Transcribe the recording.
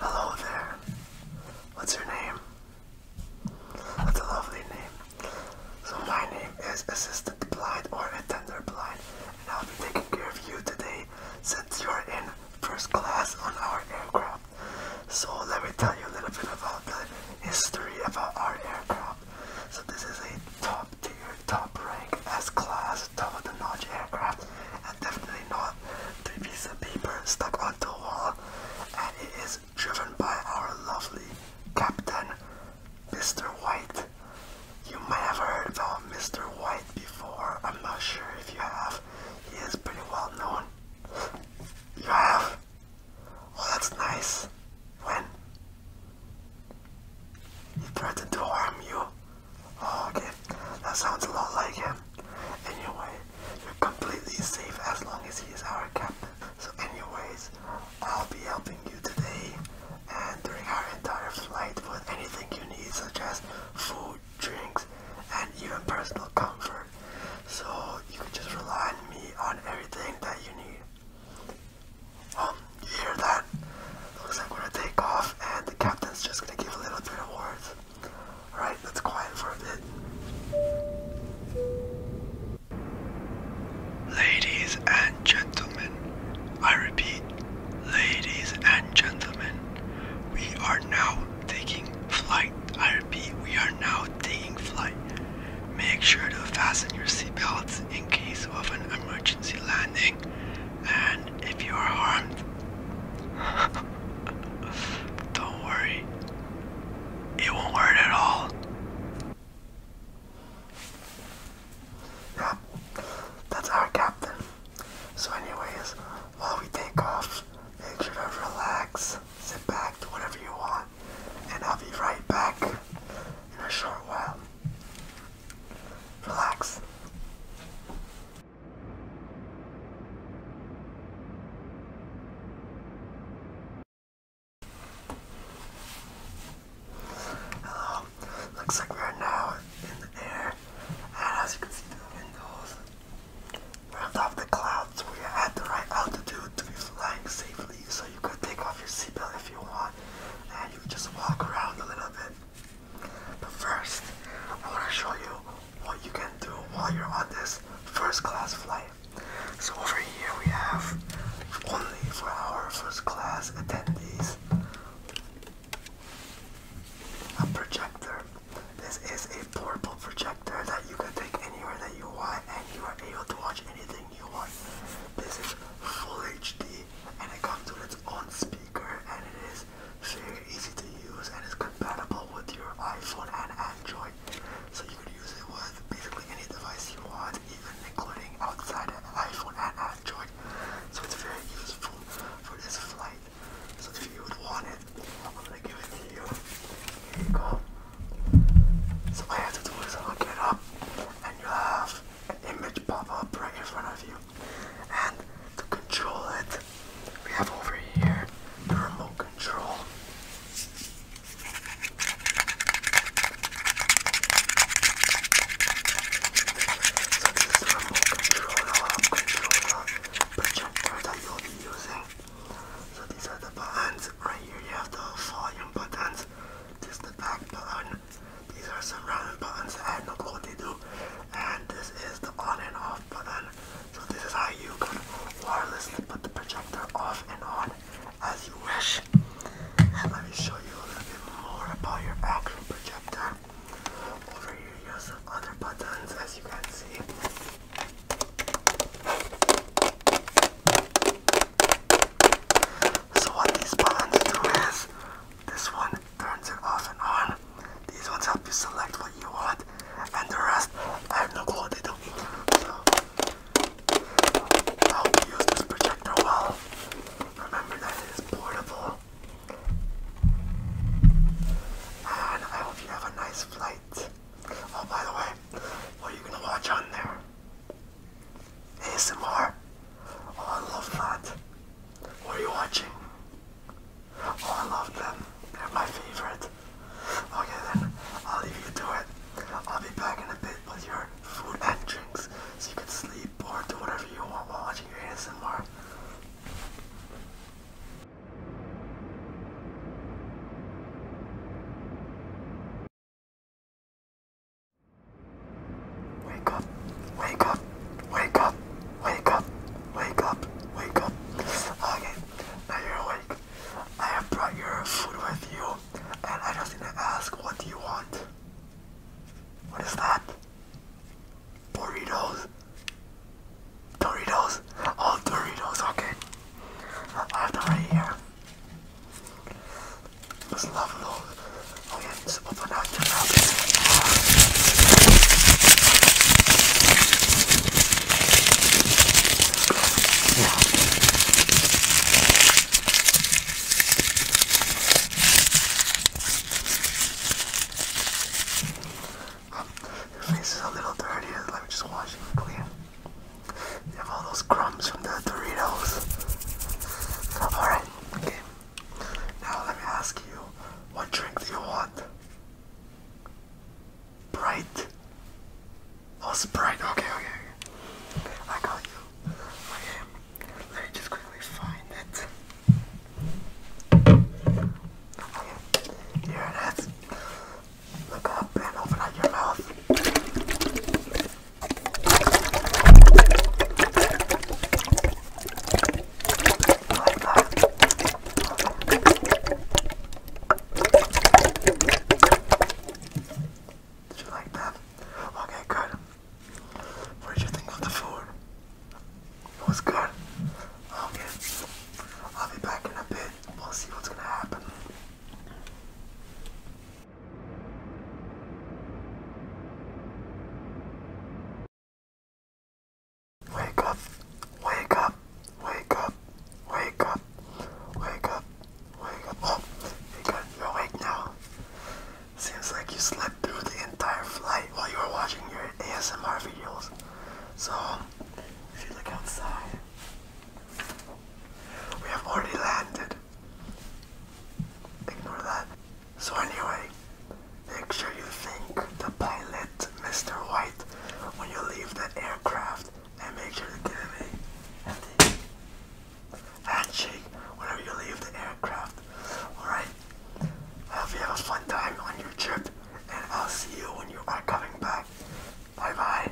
Hello there. What's your name? That's a lovely name. So my name is Assistant Blind or Attender Blind, and I'll be taking care of you today since you're in first class on our aircraft. So let me tell you a little bit about the history about our aircraft. So this is a top tier, top rank, S-class, top-of-the-notch aircraft, and definitely not three pieces of paper stuck onto a wall. And it is driven by our lovely captain, Mr. White. You may have heard about Mr. White before. I'm not sure if you have. He is pretty well known. You have? Oh, that's nice. When? He threatened to harm you. Oh, okay, that sounds a lot like him. Anyway, you're completely safe as long as he's our captain. So anyways, I'll be helping you today and during our entire flight with anything you need such as food, drinks, and even personal comfort. So you can just rely on me on everything that you need you hear that? Looks like we're gonna take off, and the captain's just gonna give a little bit of words. Alright, let's quiet for a bit. Ladies and gentlemen, I repeat, ladies and gentlemen, we are now taking flight. I repeat, we are now taking flight. Make sure to fasten your seatbelts in case of an emergency landing, and if you are harmed, don't worry, it won't hurt at all. Yeah, that's our captain. So, anyways, while we take off, make sure to relax, sit back, do whatever you want and I'll be right back in a short while. Relax. Hello. Looks like we are in the air, and as you can see the windows, Round off the clouds where you're at the right altitude to be flying safely, so you can take off your seatbelt if you want, and you just walk around a little bit. But first, I want to show you what you can do while you're on this first class flight. So over here we have only for our first class attendees a projector. This is a portable projector that you can take anywhere that you want and you are able to watch anything you want. This is full HD and it comes with its own speaker and it is very easy to use and it's compatible with your iPhone and Android. So you can use it with basically any device you want, even including outside iPhone and Android. So it's very useful for this flight. So if you would want it, I'm gonna give it to you. Here you go. So all you have to do is look it up, and you have an image pop up right in front of you. And to control it, we have over here the remote control. So the remote control, the control the projector that you'll be using. So these are the buttons. Right here you have the volume buttons. This is the back button. These are some random buttons I have no clue what they do. And this is the on and off button. So this is how you can wirelessly put the projector off and on as you wish. And let me show you a little bit more about your actual projector. Over here you have some other buttons as you can see. So what these buttons do is this one turns it off and on. These ones help you select what you want and the rest I have no clue what they do. So I you use this projector well. Remember that it is portable and I hope you have a nice flight. Oh, by the way, what are you gonna watch on there? ASMR? Oh, I love that. What are you watching? Oh, I love them. They're my favorite. Okay, then I'll leave you to it. I'll be back in a bit with your food and drinks so you can sleep or do whatever you want while watching your ASMR. Wake up, wake up, wake up, wake up, wake up, wake up. Okay, now you're awake. I have brought your food with you, and I just need to ask what do you want? What is that? Doritos. Doritos. all Doritos. Okay. I have them here. Let's love those. Okay, let open up your mouth. Your is a little dirty, let me just wash it clean. You have all those crumbs from the Doritos. Alright, okay. Now let me ask you, what drink do you want? Bright? Oh, Sprite. Okay, okay, okay. I got you. Okay. Let me just quickly find it. Okay. Here it is. Look up and open up your mouth. Like that. Did you like that? Okay, good. What did you think of the food? It was good. Okay. I'll be back in a bit. We'll see what's gonna happen. Wake up, wake up, wake up, wake up. Wake up. Wake up. Oh, you got, you're awake now. Seems like you slept through the entire flight while you were watching your ASMR videos. So, if you look outside, we have already landed. Ignore that. So anyway, make sure you thank the pilot, Mr. White, when you leave the aircraft and make sure to give me a healthy handshake whenever you leave the aircraft. Alright? I hope you have a fun time on your trip, and I'll see you when you are coming back. Bye bye.